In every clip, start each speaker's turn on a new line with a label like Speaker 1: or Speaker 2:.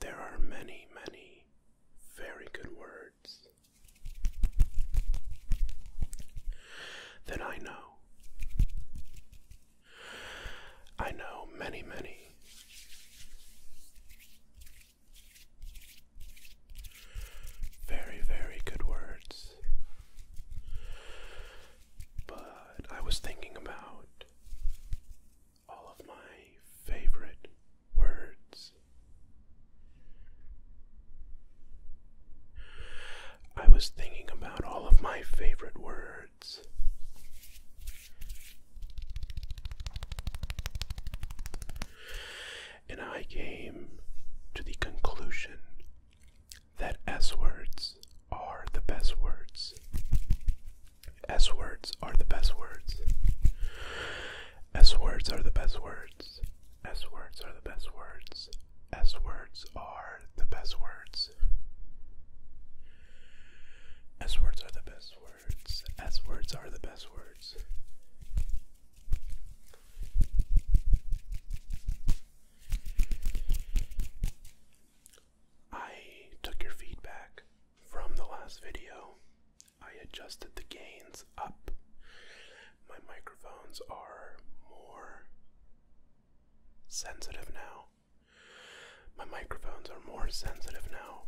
Speaker 1: There are many, many very good words that I know. I know many, many. Very, very good words but I was thinking about all of my favorite words. I was thinking about all of my favorite words. And I came to the conclusion that S words are the best words. S words are the best words. S words are the best words. S words are the best words. S words are the best words. S words are the best words. S words are the best words. I took your feedback from the last video. I adjusted the gains up. My microphones are more sensitive now. My microphones are more sensitive now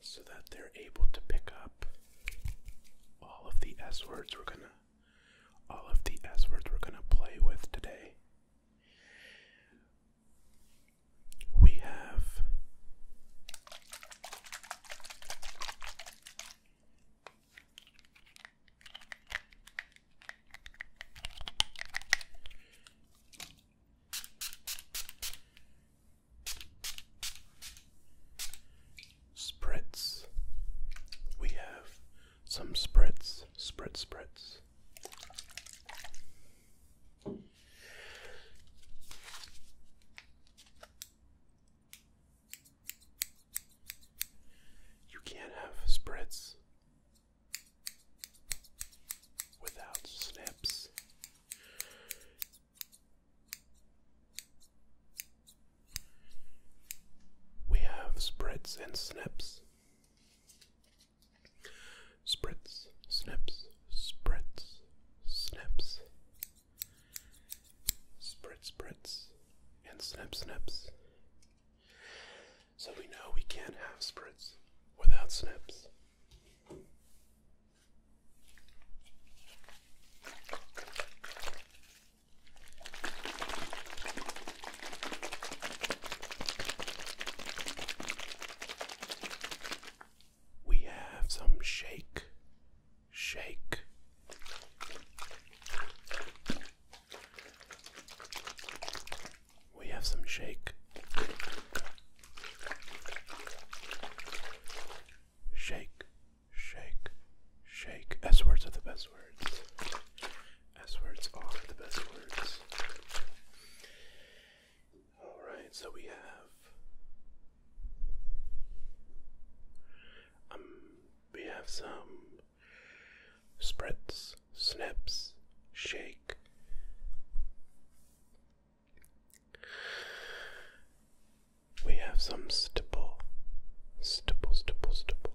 Speaker 1: so that they're able to pick up all of the S words we're going to all of the S words we're going to play with today. We have spritz. We have some spritz, spritz, spritz. You can't have spritz without snips. We have spreads and snips. Spreads, snaps, spreads, snaps. Spread, spreads, and snap, snaps. So we know we can't have spreads without snaps. We have some shake, shake. We have some shake, shake, shake, shake. S words are the best words. S words are the best words. Alright, so we have. Um, we have some spritz, snips, shake. We have some stipple, stipple, stipple, stipple.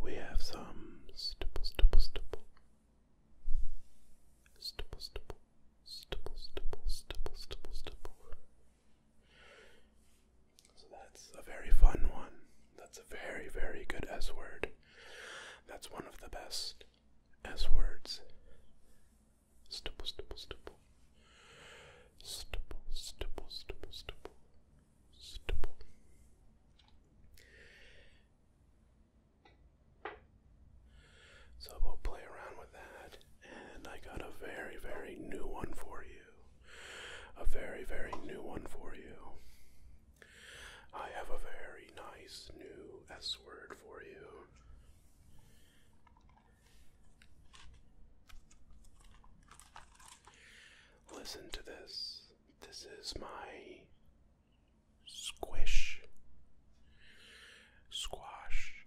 Speaker 1: We have some stipple, stipple, stipple. Stipple, stipple, stipple, stipple, stipple, stipple, stipple. So that's a very fun one. That's a very, very good S word. That's one of the best S words. Stipple, stipple, stipple. Stipple, stipple, stipple, stipple. So we'll play around with that, and I got a very, very new one for you. A very, very new one for you. I have a very nice new S word for you. Listen to this. This is my squish, squash,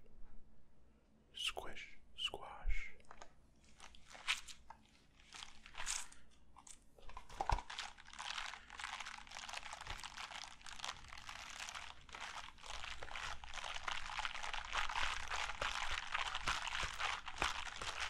Speaker 1: squish, squash.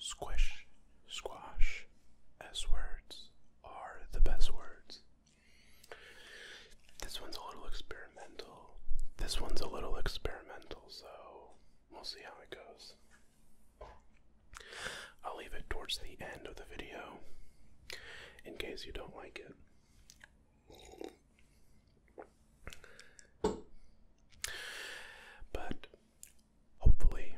Speaker 1: Squish, squash, S words are the best words. This one's a little experimental. This one's a little experimental, so we'll see how it goes. I'll leave it towards the end of the video in case you don't like it. But hopefully,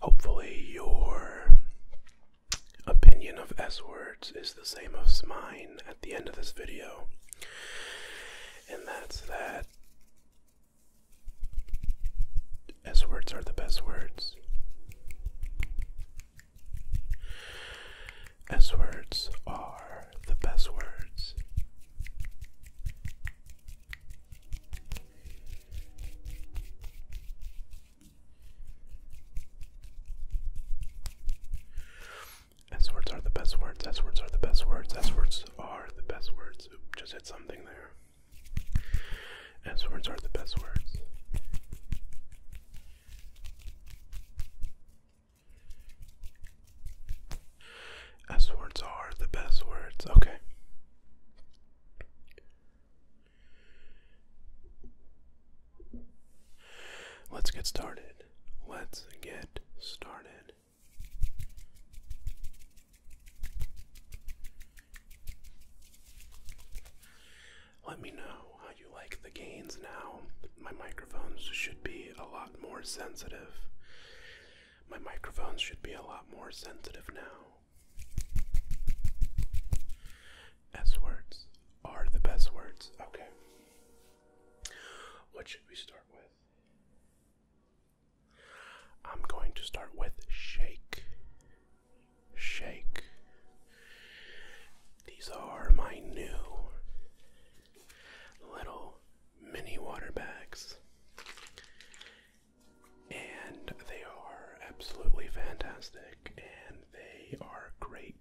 Speaker 1: hopefully, your opinion of S words is the same as mine at the end of this video, and that's that S words are the best words. S words are the best words. S words are the best words. S words are the best words. S words are the best words. Oop, just hit something there. S words are the best words. S words are the best words. Okay. Let's get started let's get started. Let me know how you like the gains now. My microphones should be a lot more sensitive. My microphones should be a lot more sensitive now. S words are the best words. Okay. What should we start with? I'm going to start with shake. Shake. These are my new little mini water bags. And they are absolutely fantastic and they are great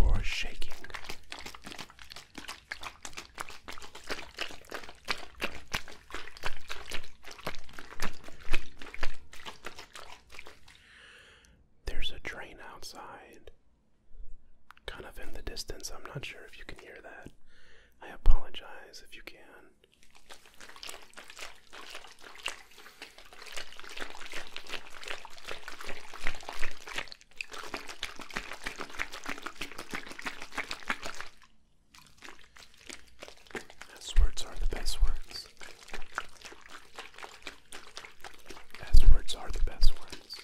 Speaker 1: or shaking. There's a train outside, kind of in the distance. I'm not sure if you can hear that. I apologize if you can. S words are the best words. S words are the best words.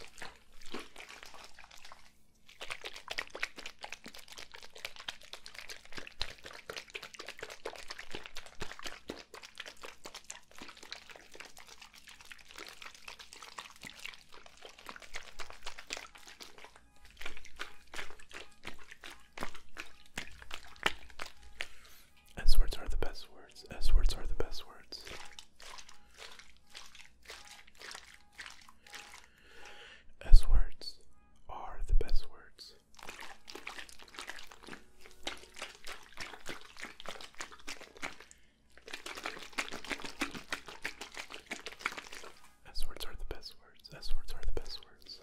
Speaker 1: S words are the best words. S words are the best words. S words are the best words. S words are the best words. S words are the best words.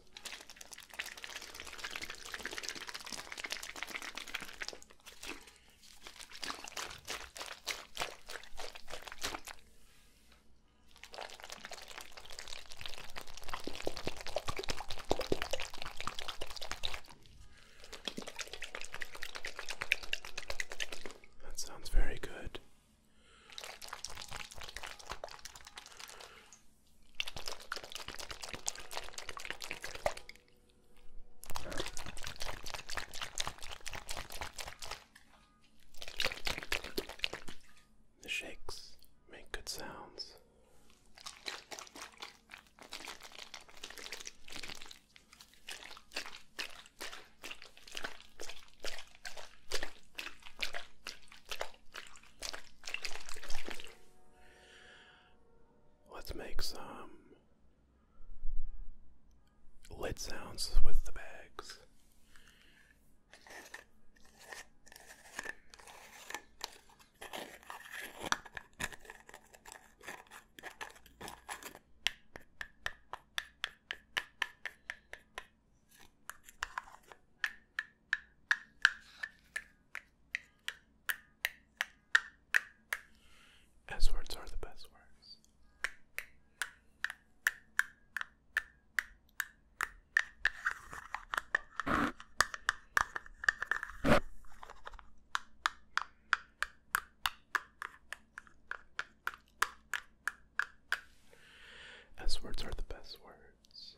Speaker 1: That sounds very good. The shakes make good sounds. Let's make some lid sounds with the bags. S words are the best words. S words are the best words.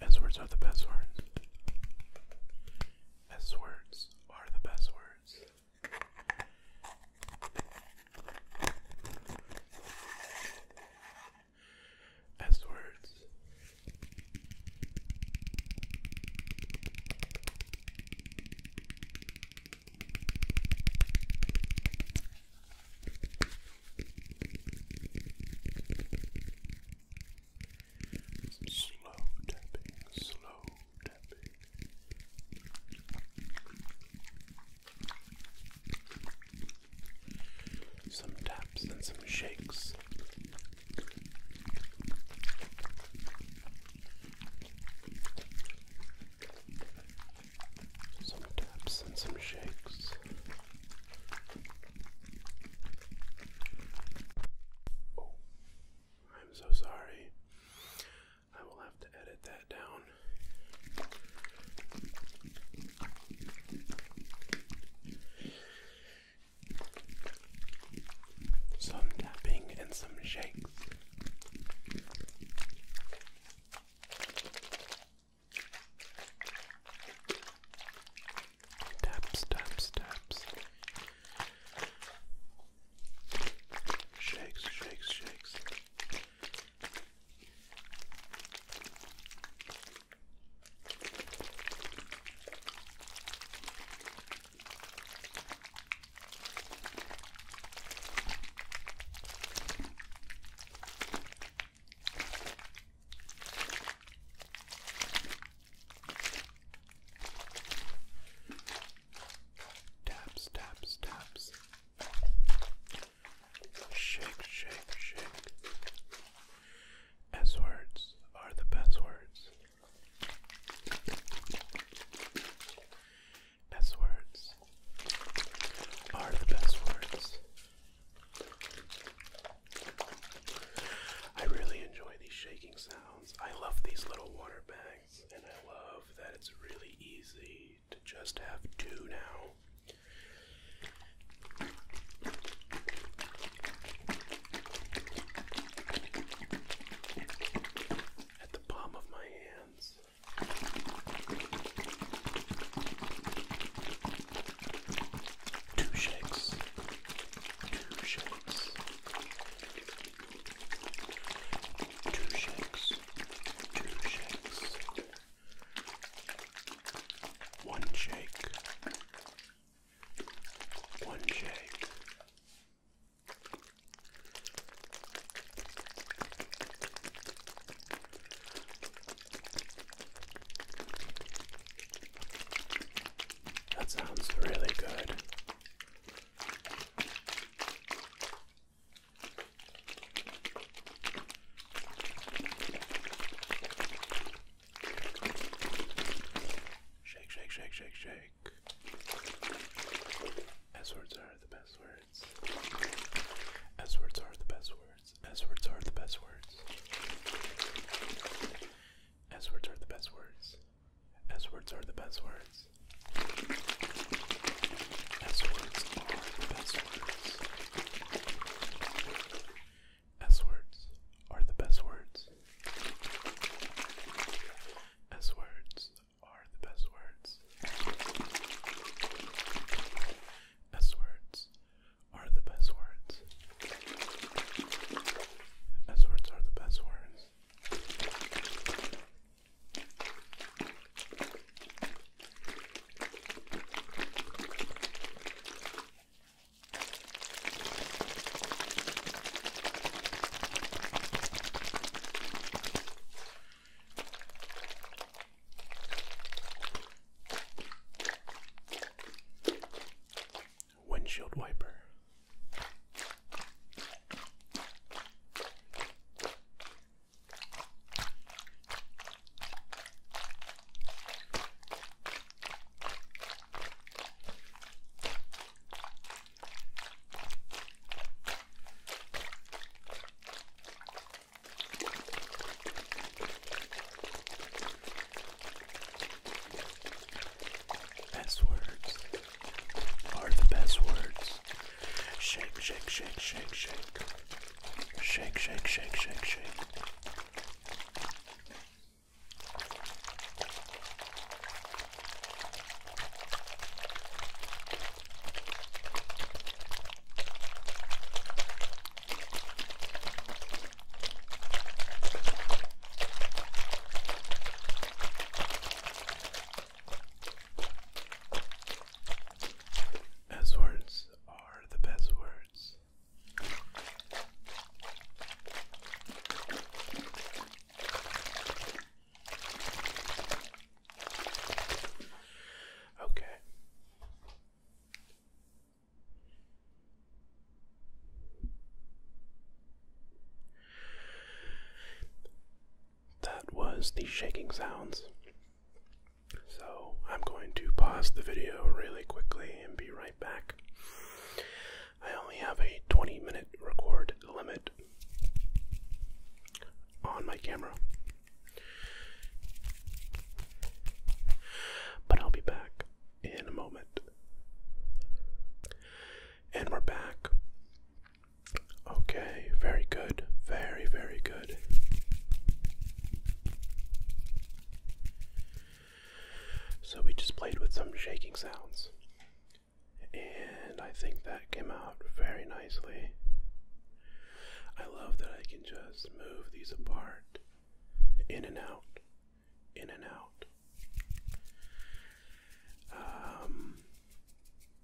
Speaker 1: S words are the best words. S words are the best words. S words. Slow tapping, slow tapping. Some taps and some shakes. Some taps and some shakes. Oh, I'm so sorry. I will have to edit that down some tapping and some shakes. Taps, taps, taps. Shakes, shakes, shakes. Taps, taps, taps. Shake, shake, shake. S words are the best words. Best words are the best words. I really enjoy these shaking sounds. I love these little water bags, and I love that it's really easy to just have two now at the palm of my hands. Two shakes. Two shakes. Two shakes. Two shakes. One shake. One shake. That sounds really good. Shake, shake, shake, shake, shake book. S words are the best words. S words are the best words. S words are the best words. S words are the best words. S words are the best words. S words are the best words. S words are the best words as words are the best words. S words are the best words. S words are the best words. Windshield wiper. Best words are the best words. Shake, shake, shake, shake, shake. Shake, shake, shake, shake, shake. As words are the best words. Okay. That was the shaking sounds. So I'm going to pause the video really quickly and be right back. I only have a 20 minute record limit on my camera. But I'll be back in a moment. And we're back. Okay, very good. Very, very good. So we just played with some shaking sounds and I think that came out very nicely. I love that I can just move these apart in and out, in and out. Um,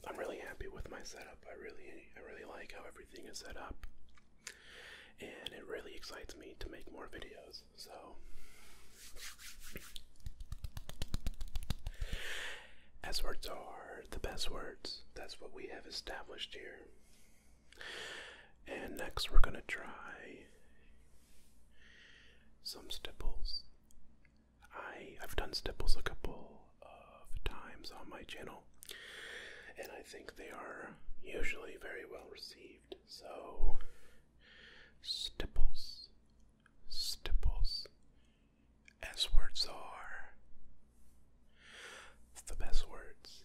Speaker 1: I'm really happy with my setup. I really, I really like how everything is set up, and it really excites me to make more videos. So S words are the best words. That's what we have established here. And next we're gonna try some stipples. I I've done stipples a couple of times on my channel and I think they are usually very well received. So stipples Stipples, as words are the best words.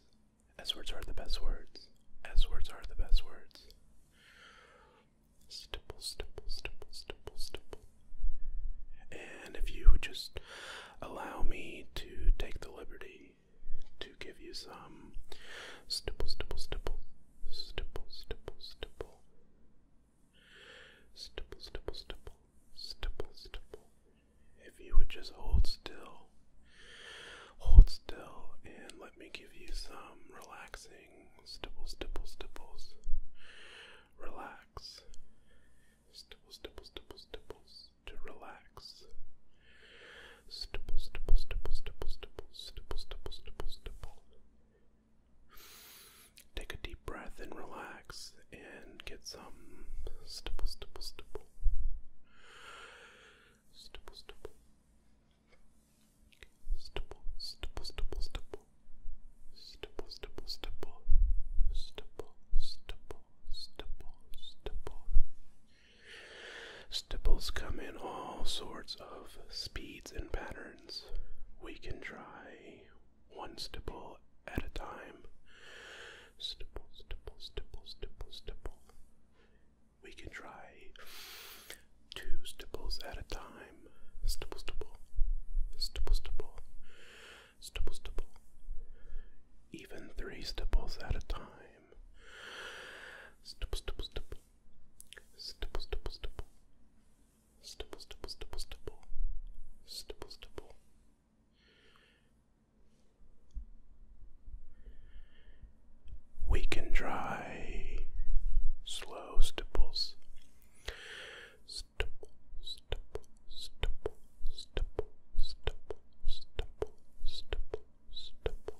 Speaker 1: As words are the best words. As words are the best words. Stipple, stipple, stipple, stipple, stipple. And if you would just allow me to take the liberty to give you some stipple, stipple, stipple, stipple, stipple, stipple stipple. Stipple, stipple, stipple, stipple, If you would just hold still, hold still, and let me give you some relaxing stipple, stipple, stipples. Relax. Stipple, stipple, stipple, stipples to relax. Stipple, stipple, stipple, stipple, stipple, stipple, stipple, stipple, stipple. Take a deep breath and relax and get some stipple, stipple, stipple. Stipple, stipple. Stipple, stipple, stipple, stipple. Stipple, stipple, stipple. Stipple, stipple, stipple, stipple. Stipples come in all sorts of speeds and patterns. We can try one stipple at a time. Stipple, stipple, stipple, stipple, stipple. We can try two stipples at a time. Stipple, stipple, stipple, stipple, stipple, Even three stipples at a time. Stipple, stipple, stipple, stipple, stipple, stipple, stipple, stipple, stipple, stipple, stipple, We can try slow stipples. Stipple, stipple, stipple, stipple, stipple, stipple, stipple, stipple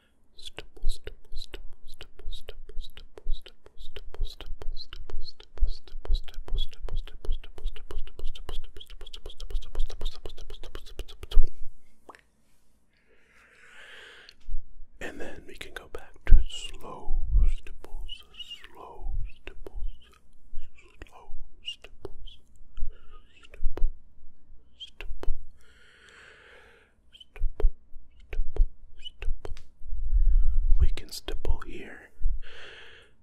Speaker 1: And then we can go back to slow stipples, slow stipples, slow stipples, stipple, stipple. We can stipple here.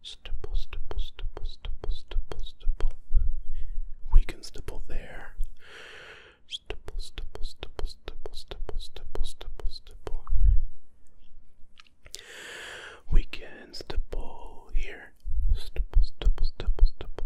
Speaker 1: Stipple, stipple, stipple, stipple, stipple, stipple. We can stipple there. Stipple, stipple, stipple, stipple, stipple, stipple, stipple, stipple. We can stipple here. Stipple, stipple, stipple, stipple,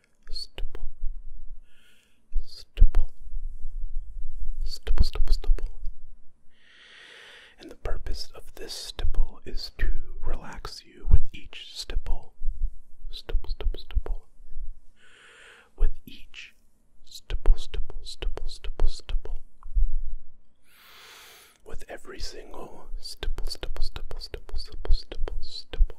Speaker 1: stipple, stipple, stipple, stipple, stipple. And the purpose of this stipple is to relax you with each stipple, stipple, stipple, stipple, with each stipple, stipple, stipple, stipple, stipple. With every single stipple, stipple, stipple, stipple, stipple, stipple, stipple,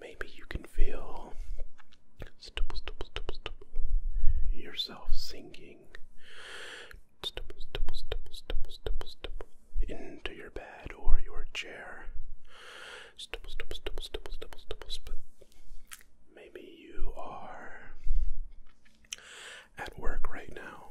Speaker 1: Maybe you can feel yourself singing into your bed or your chair. Maybe you are at work right now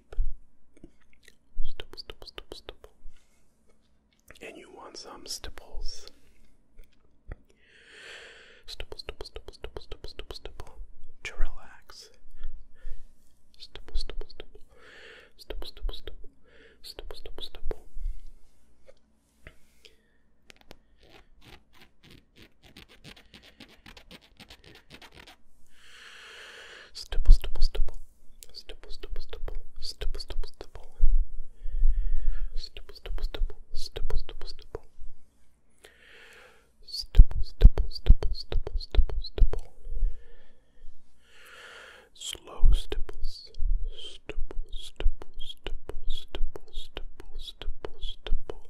Speaker 1: And you want some stipples. Stipple, stipple, stipple, stipple, stipple, stipple, stipple. To relax. stipple, stipple. Stipple, stipple, stipple. Stipple, stipple, stipple. Stipple, stipple, stipple. Stipple, stipple, stipple. Stipple, stipple, stipple. Stipple, stipple, stipple. Stipple, stipple, stipple. Stipple, stipple, stipple, stipple, stipple, stipple. Slow stipples. Stipple, stipple, stipple, stipple, stipple, stipple, stipple.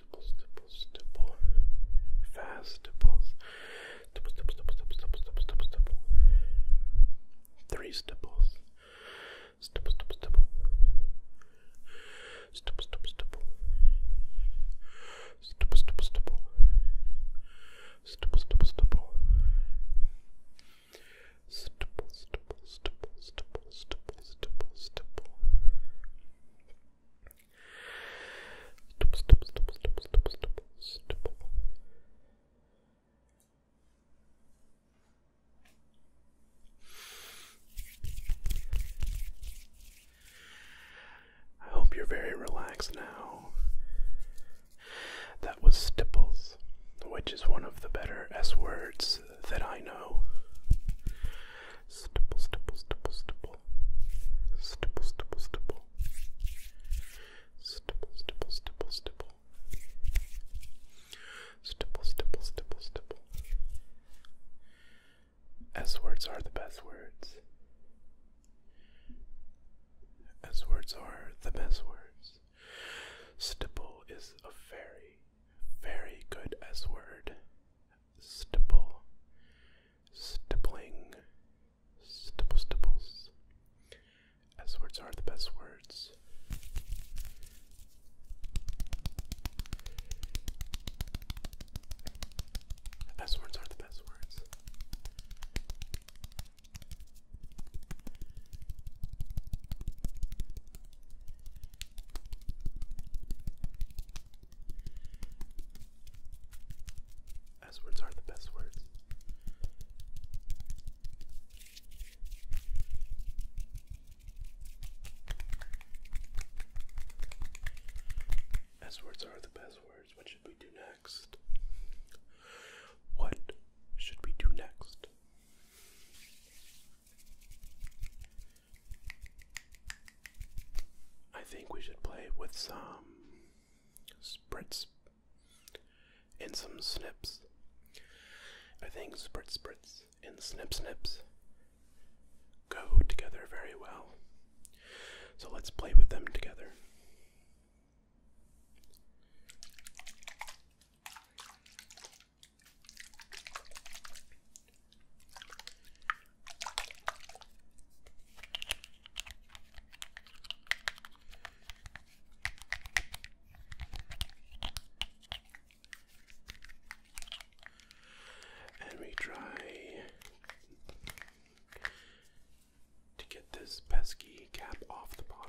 Speaker 1: tibbles, tibbles, tibble. Fast tibbles. Tibbles, tibbles, tibbles, tibbles, tibbles, tibbles, tibbles, tibble. Three stibbles. Stibble, stibble, stibble. Stibble, stibble, stibble. Stibble, stibble, stibble. Stibble, stibble, stibble. Stipple, stipple, stipple, stipple, stipple, stipple, stipple. I hope you're very relaxed now. That was stipples, which is one of the better S words that I know stipple, stipple, stipple, stipple, stipple, stipple, stipple, stipple, stipple, stipple, stipple, stipple, stipple, stipple, stipple. S words are the best words. S words are the best words. Stipple is a very, very good S word. Stipple Stippling. Stipple stipples. S words are the best words. best words are the best words. S words are the best words. S words are the best words. What should we do next? What should we do next? I think we should play with some spritz and some snips. I think spritz spritz and snip snips go together very well. So let's play with them together. And we try to get this pesky cap off the bottle.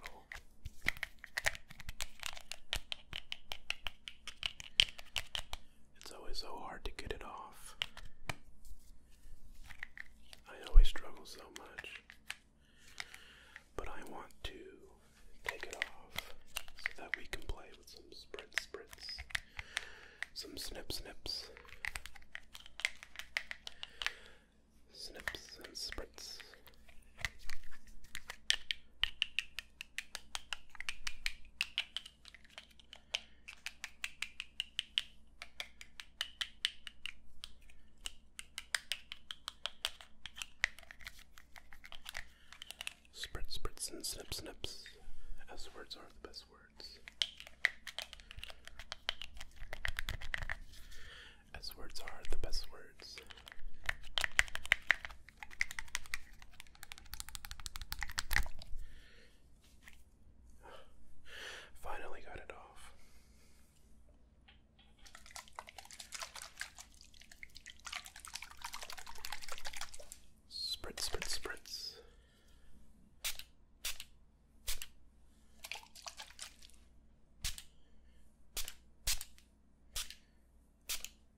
Speaker 1: It's always so hard to get it off. I always struggle so much. But I want to take it off so that we can play with some spritz spritz, some snip snips, snips and spritz. Spritz, spritz, and snip, snip. S words are the best words. S words are the best words. Finally got it off. Spritz, spritz, spritz.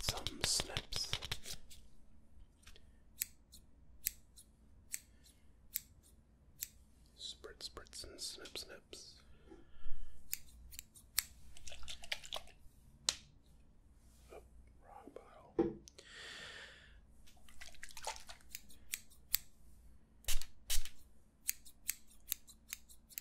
Speaker 1: some snips. Spritz, spritz, and snip, snips. Oh, wrong bottle.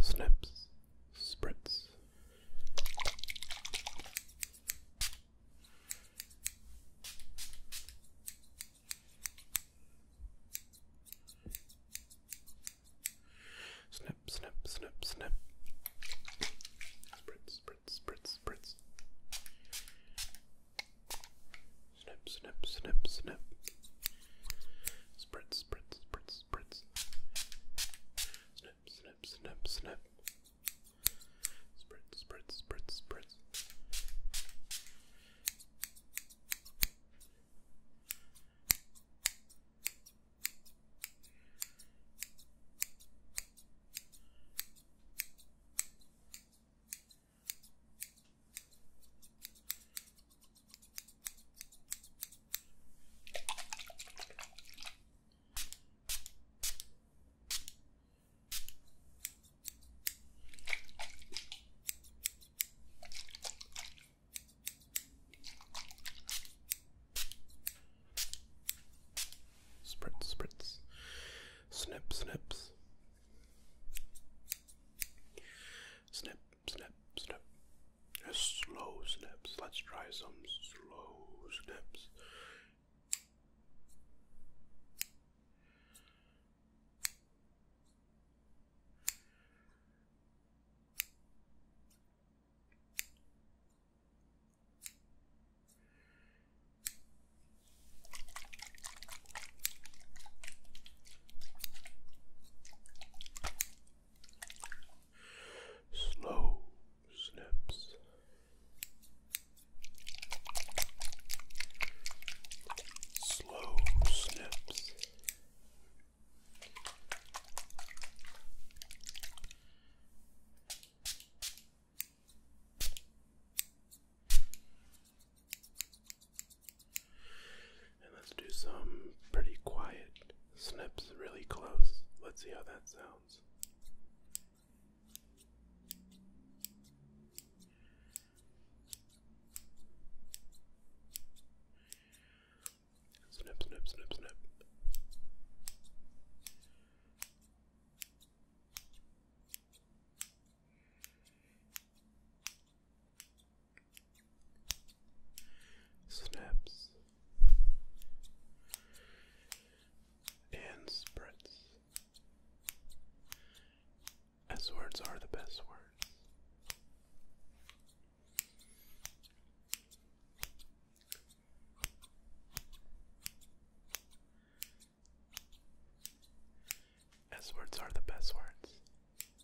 Speaker 1: Snips, spritz. Snip, snip, snip, snip. Spritz, spritz, spritz, spritz. Snip, snip, snip, snip. Spritz, spritz, spritz, prints, prints. Snip, snip, snip, snip. Spritz, spritz, spritz, spritz. Spritz, spritz, snip, snips, snip, snap, snap. A slow snaps. Let's try some slow snaps. Slow snips. Slow snips. And let's do some pretty quiet snips really close. Let's see how that sounds. Snip, snip, snip, snip snaps, and spreads. As words are the best words. As words are the best words.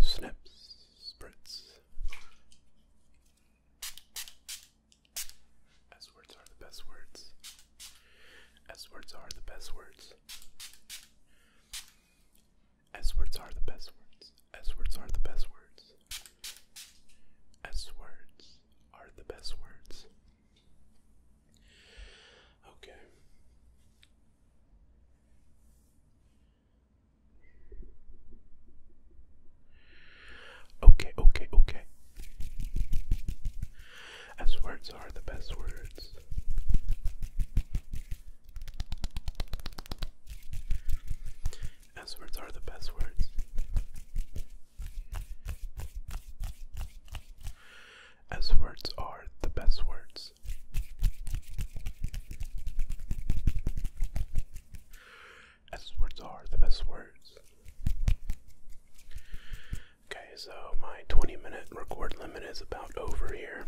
Speaker 1: Snaps, spritz. S words are the best words. S words are the best words. S words are the best words. S words are the best words. S words are the best words. Okay. Okay, okay, okay. As words are the best words. As words are the best words. As words are the best words. As words are the best words. Okay, so my 20 minute record limit is about over here.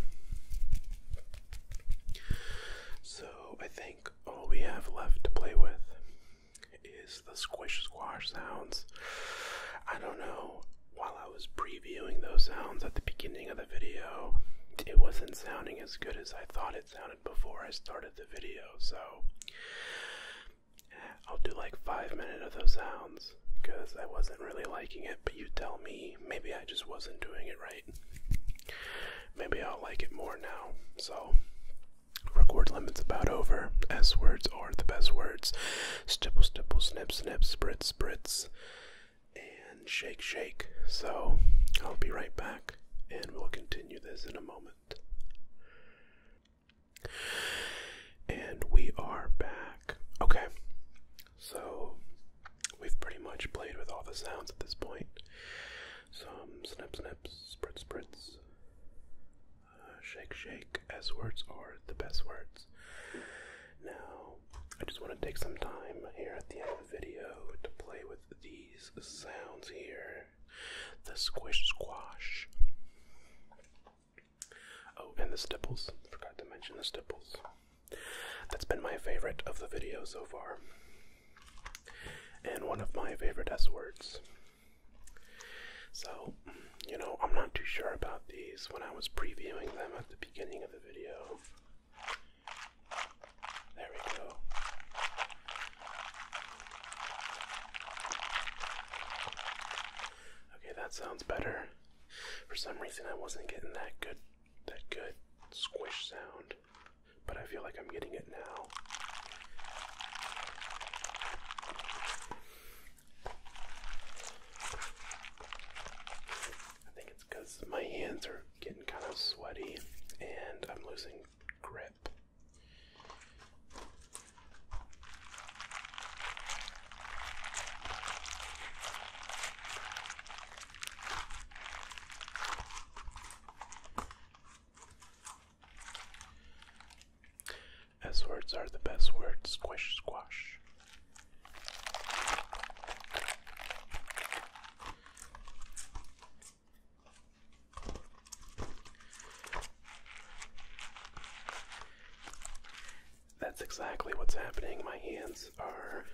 Speaker 1: So I think all we have left to play with is the squish squash sounds. I don't know, while I was previewing those sounds at the beginning of the video, it wasn't sounding as good as I thought it sounded before I started the video, so I'll do like five minutes of those sounds because I wasn't really liking it, but you tell me maybe I just wasn't doing it right. Maybe I'll like it more now. So, record limit's about over. S words are the best words. Stipple, stipple, snip, snip, spritz, spritz, and shake, shake. So, I'll be right back and we'll continue this in a moment. And we are back. Okay, so we've pretty much played with all the sounds at this point. Some snip, snip, spritz, spritz, uh, shake, shake. S words are the best words. Now, I just want to take some time here at the end of the video to play with these sounds here the squish, squash. Oh, and the stipples. Forgot to mention the stipples. That's been my favorite of the video so far. And one of my favorite S words. So, you know, I'm not too sure about these when I was previewing them at the beginning of the video. There we go. Okay, that sounds better. For some reason, I wasn't getting that good, that good squish sound, but I feel like I'm getting it now. I think it's because my hands are getting kind of sweaty and I'm losing grip. S words are the best words. Squish, squash. That's exactly what's happening. My hands are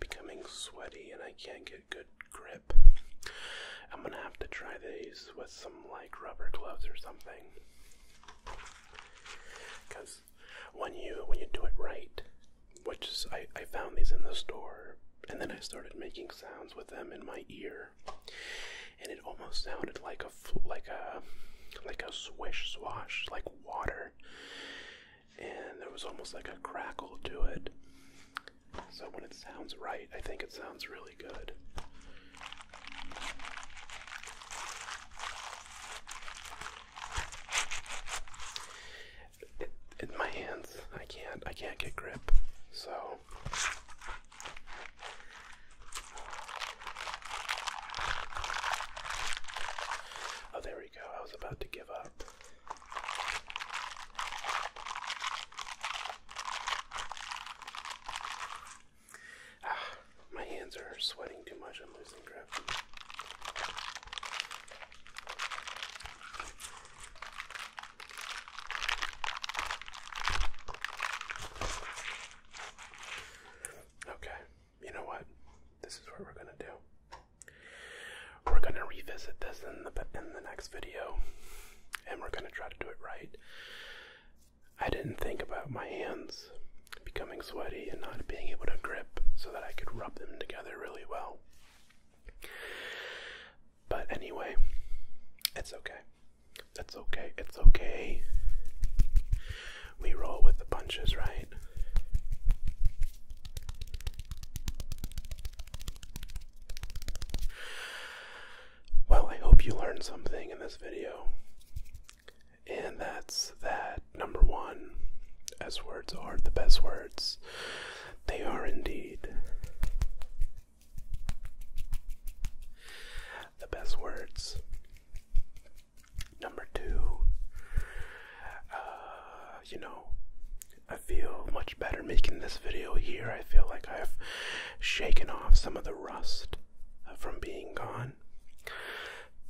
Speaker 1: becoming sweaty and I can't get good grip. I'm gonna have to try these with some like rubber gloves or something. Cause when you when you do it right, which I, I found these in the store and then I started making sounds with them in my ear and it almost sounded like a like a like a swish swash, like water, and there was almost like a crackle to it. So when it sounds right, I think it sounds really good. It, my hands, I can't, I can't get grip. So Oh, there we go. I was about to give up. Ah, my hands are sweating too much. I'm losing grip. Okay, you know what? This is what we're gonna do. We're gonna revisit this in the in the next video, and we're gonna try to do it right. I didn't think about my hands becoming sweaty and not being able to grip so that I could rub them together really well. But anyway, it's okay. It's okay. It's okay. We roll with the punches, right? Well, I hope you learned something in this video. And that's that. Number one, S words are the best words. They are indeed. The best words. Number two, uh, you know, I feel much better making this video here. I feel like I've shaken off some of the rust from being gone.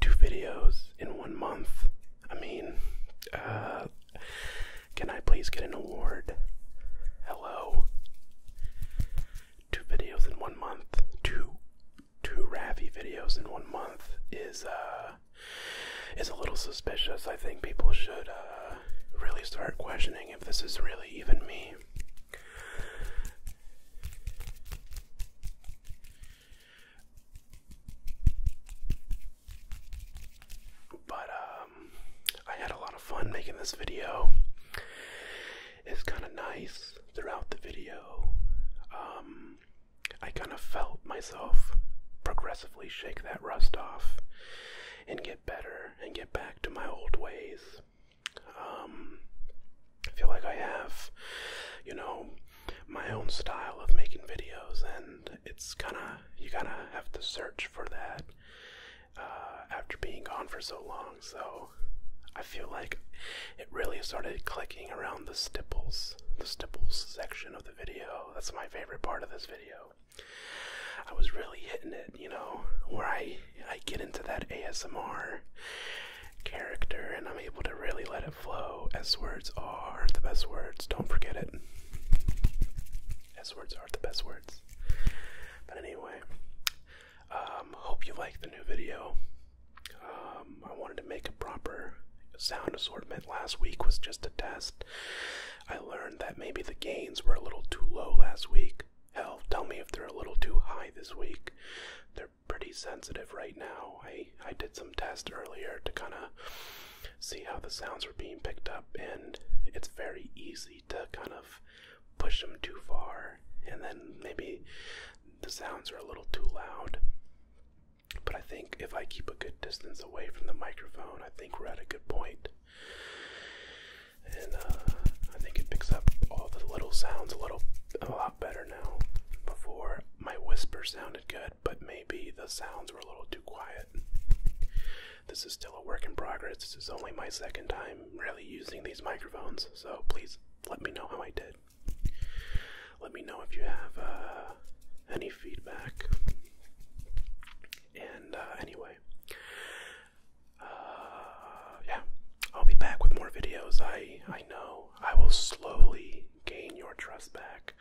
Speaker 1: Two videos in one month. I mean, uh, can I please get an award? Hello two videos in one month, two two Ravi videos in one month is uh is a little suspicious. I think people should uh, really start questioning if this is really even me. But um, I had a lot of fun making this video. It's kind of nice throughout the video. Um, I kind of felt myself progressively shake that rust off and get better and get back to my old ways. Um, I feel like I have, you know, my own style of making videos, and it's kind of, you kind of have to search for that uh, after being gone for so long. So I feel like it really started clicking around the stipples, the stipples section of the video. That's my favorite part of this video. I was really hitting it, you know, where I I get into that ASMR character and I'm able to really let it flow. S words are the best words. Don't forget it. S words are the best words. But anyway, um, hope you like the new video. Um, I wanted to make a proper sound assortment. Last week was just a test. I learned that maybe the gains were a little too low last week. Hell, tell me if they're a little too high this week. They're pretty sensitive right now. I, I did some tests earlier to kind of see how the sounds are being picked up, and it's very easy to kind of push them too far, and then maybe the sounds are a little too loud. But I think if I keep a good distance away from the microphone, I think we're at a good point. And uh, I think it picks up all the little sounds a little a lot better now. Before my whisper sounded good, but maybe the sounds were a little too quiet. This is still a work in progress. This is only my second time really using these microphones, so please let me know how I did. Let me know if you have uh, any feedback. And uh, anyway, uh, yeah, I'll be back with more videos. I I know I will slowly gain your trust back.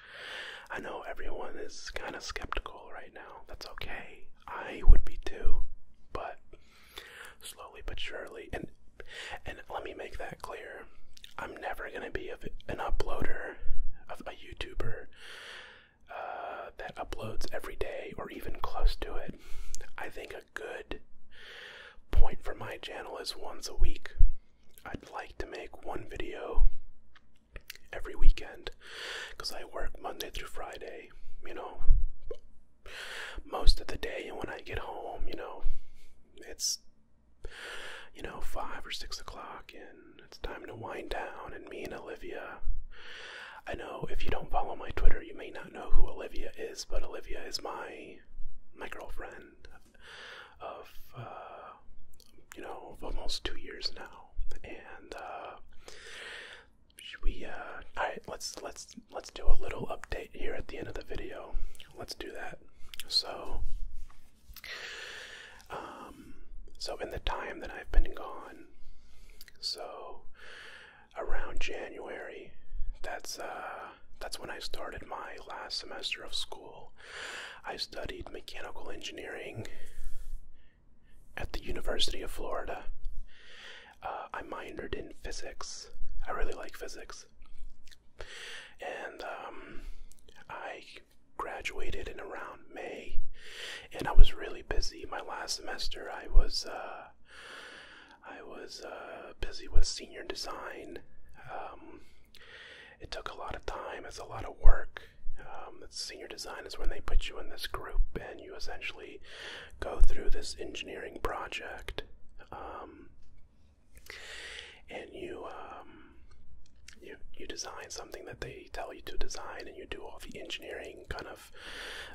Speaker 1: I know everyone is kind of skeptical right now. That's okay. I would be too, but slowly but surely. And and let me make that clear. I'm never gonna be an uploader, of a YouTuber uh, that uploads every day or even close to it. I think a good point for my channel is once a week. I'd like to make one video every weekend because I work Monday through Friday, you know, most of the day and when I get home, you know, it's you know, five or six o'clock and it's time to wind down and me and Olivia I know if you don't follow my Twitter you may not know who Olivia is, but Olivia is my my girlfriend of uh you know, of almost two years now. And uh should we? Uh, all right, let's let's let's do a little update here at the end of the video. Let's do that. So, um, so in the time that I've been gone, so around January, that's uh, that's when I started my last semester of school. I studied mechanical engineering at the University of Florida. Uh, I minored in physics. I really like physics. And um, I graduated in around May, and I was really busy. My last semester, I was uh, I was uh, busy with senior design. Um, it took a lot of time. It's a lot of work. Um, senior design is when they put you in this group, and you essentially go through this engineering project, um, and you um, you you design something that they tell you to design, and you do all the engineering kind of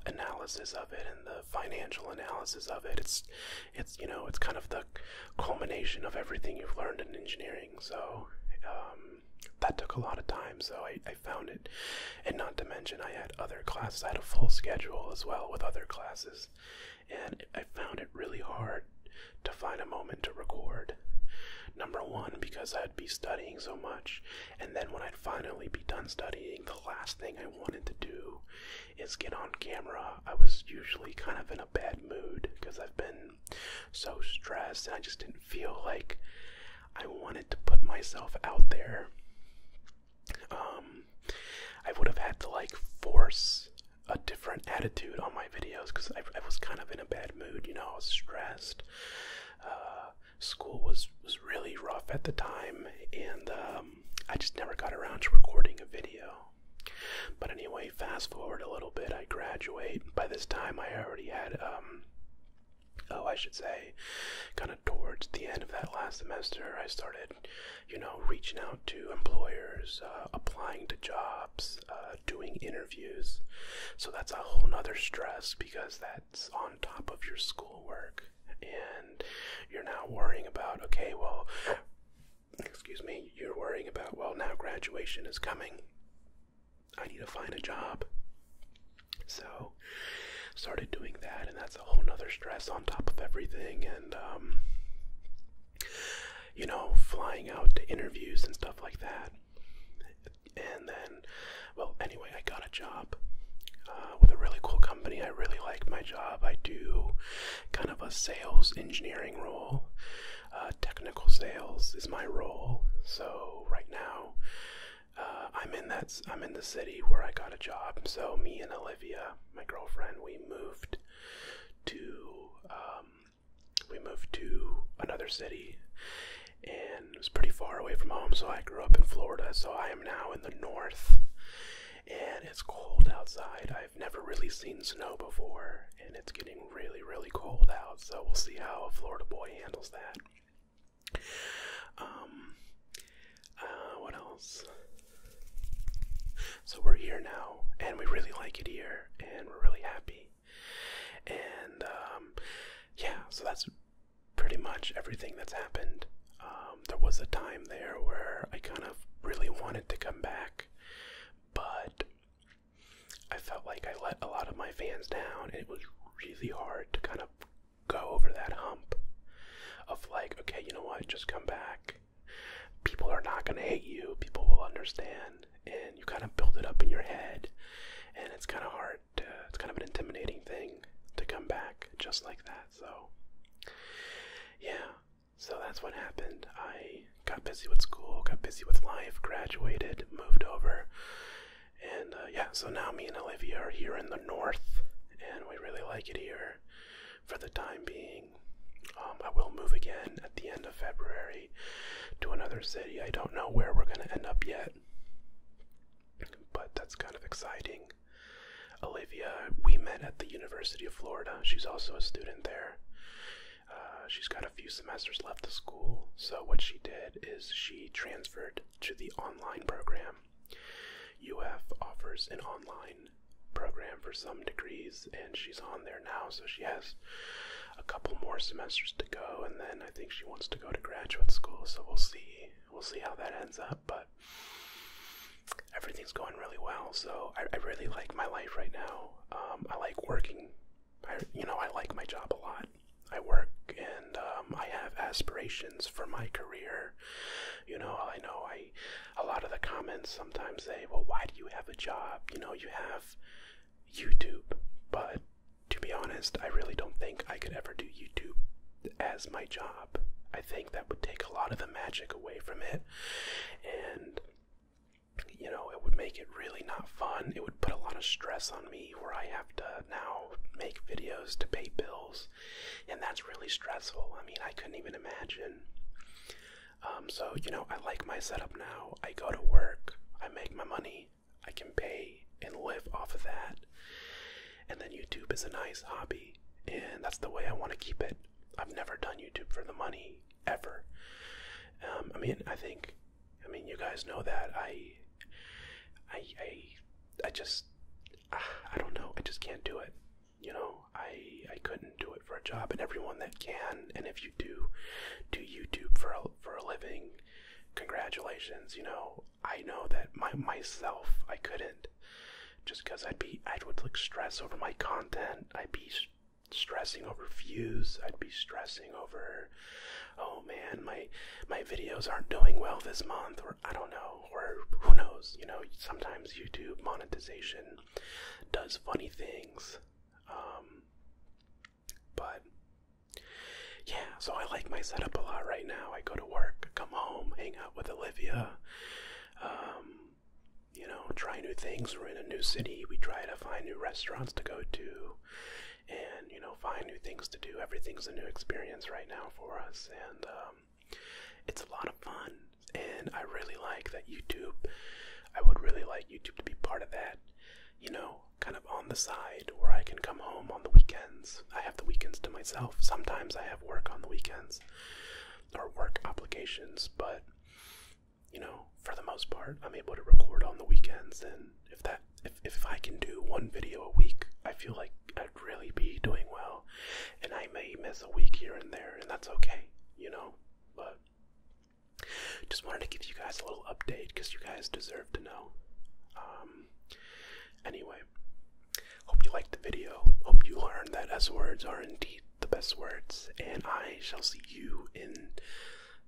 Speaker 1: analysis of it and the financial analysis of it. It's it's you know it's kind of the culmination of everything you've learned in engineering. So um, that took a lot of time so I found it. And not to mention, I had other classes. I had a full schedule as well with other classes, and I found it really hard to find a moment to record. Number one, because I'd be studying so much, and then when I'd finally be done studying, the last thing I wanted to do is get on camera. I was usually kind of in a bad mood because I've been so stressed, and I just didn't feel like I wanted to put myself out there um, I would have had to like force a different attitude on my videos because I, was kind of in a bad mood. You know, I was stressed. Uh, school was was really rough at the time, and um, I just never got around to recording a video. But anyway, fast forward a little bit. I graduate. By this time, I already had um, oh, I should say, kind of towards the end of that last semester, I started, you know, reaching out to employers, uh, applying to jobs, uh, doing interviews. So that's a whole nother stress because that's on top of your schoolwork. And you're now worrying about, okay, well, excuse me, you're worrying about, well, now graduation is coming. I need to find a job. So started doing that, and that's a whole nother stress on top of everything. And um, you know, flying out to interviews and stuff like that. And then, well, anyway, I got a job uh, with a really cool company. I really like my job. I do kind of a sales engineering role. Uh, technical sales is my role. So right now, uh, I'm in that I'm in the city where I got a job. So me and Olivia, my girlfriend, we moved to um, we moved to another city, and it's pretty far away from home. So I grew up in Florida. So I am now in the north, and it's cold outside. I've never really seen snow before, and it's getting really really cold out. So we'll see how a Florida boy handles that. Um, uh, what else? So we're here now, and we really like it here, and we're really happy. And um, yeah, so that's pretty much everything that's happened. Um, there was a time there where I kind of really wanted to come back, but I felt like I let a lot of my fans down, and it was really hard to kind of go over that hump of like, okay, you know what, just come back. People are not gonna hate you, people will understand, and you kind of build it up in your head, and it's kind of hard, it's kind of an intimidating thing to come back just like that. So, yeah, so that's what happened. I got busy with school, got busy with life, graduated, moved over, and uh, yeah, so now me and Olivia are here in the north, and we really like it here for the time being. Um, I will move again at the end of February to another city. I don't know where we're going to end up yet, but that's kind of exciting. Olivia, we met at the University of Florida. She's also a student there. Uh, she's got a few semesters left of school, so what she did is she transferred to the online program UF offers an online program for some degrees, and she's on there now, so she has a couple more semesters to go, and then I think she wants to go to graduate school, so we'll see. We'll see how that ends up, but everything's going really well, so I, really like my life right now. Um, I like working. I, you know, I like my job a lot. I work and um, I have aspirations for my career. You know, I know I a lot of the comments sometimes say, "Well, why do you have a job? You know, you have YouTube." But to be honest, I really don't think I could ever do YouTube as my job. I think that would take a lot of the magic away from it and you know, it would make it really not fun. It would put a lot of stress on me where I have to now make videos to pay bills and that's really stressful. I mean, I couldn't even imagine. Um, so you know, I like my setup now. I go to work, I make my money, I can pay and live off of that. And then YouTube is a nice hobby, and that's the way I want to keep it. I've never done YouTube for the money ever. Um, I mean, I think, I mean, you guys know that I, I, I just I don't know. I just can't do it. You know, I I couldn't do it for a job. And everyone that can, and if you do, do YouTube for a, for a living, congratulations. You know, I know that my myself I couldn't, just because I'd be I would like stress over my content. I'd be stressing over views. I'd be stressing over, oh man, my my videos aren't doing well this month, or I don't know know, or who knows, you know, sometimes YouTube monetization does funny things. Um, but yeah, so I like my setup a lot right now. I go to work, come home, hang out with Olivia, um, you know, try new things. We're in a new city, we try to find new restaurants to go to and, you know, find new things to do. Everything's a new experience right now for us, and um, it's a lot of fun. And I really like that YouTube. I would really like YouTube to be part of that. You know, kind of on the side where I can come home on the weekends. I have the weekends to myself. Sometimes I have work on the weekends or work obligations, but you know, for the most part, I'm able to record on the weekends. And if that, if, if I can do one video a week, I feel like I really be doing well. And I may miss a week here and there, and that's okay, you know? But just wanted to give you guys a little update because you guys deserve to know. Um, anyway, hope you liked the video. Hope you learned that S words are indeed the best words, and I shall see you in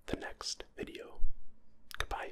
Speaker 1: the next video. Goodbye.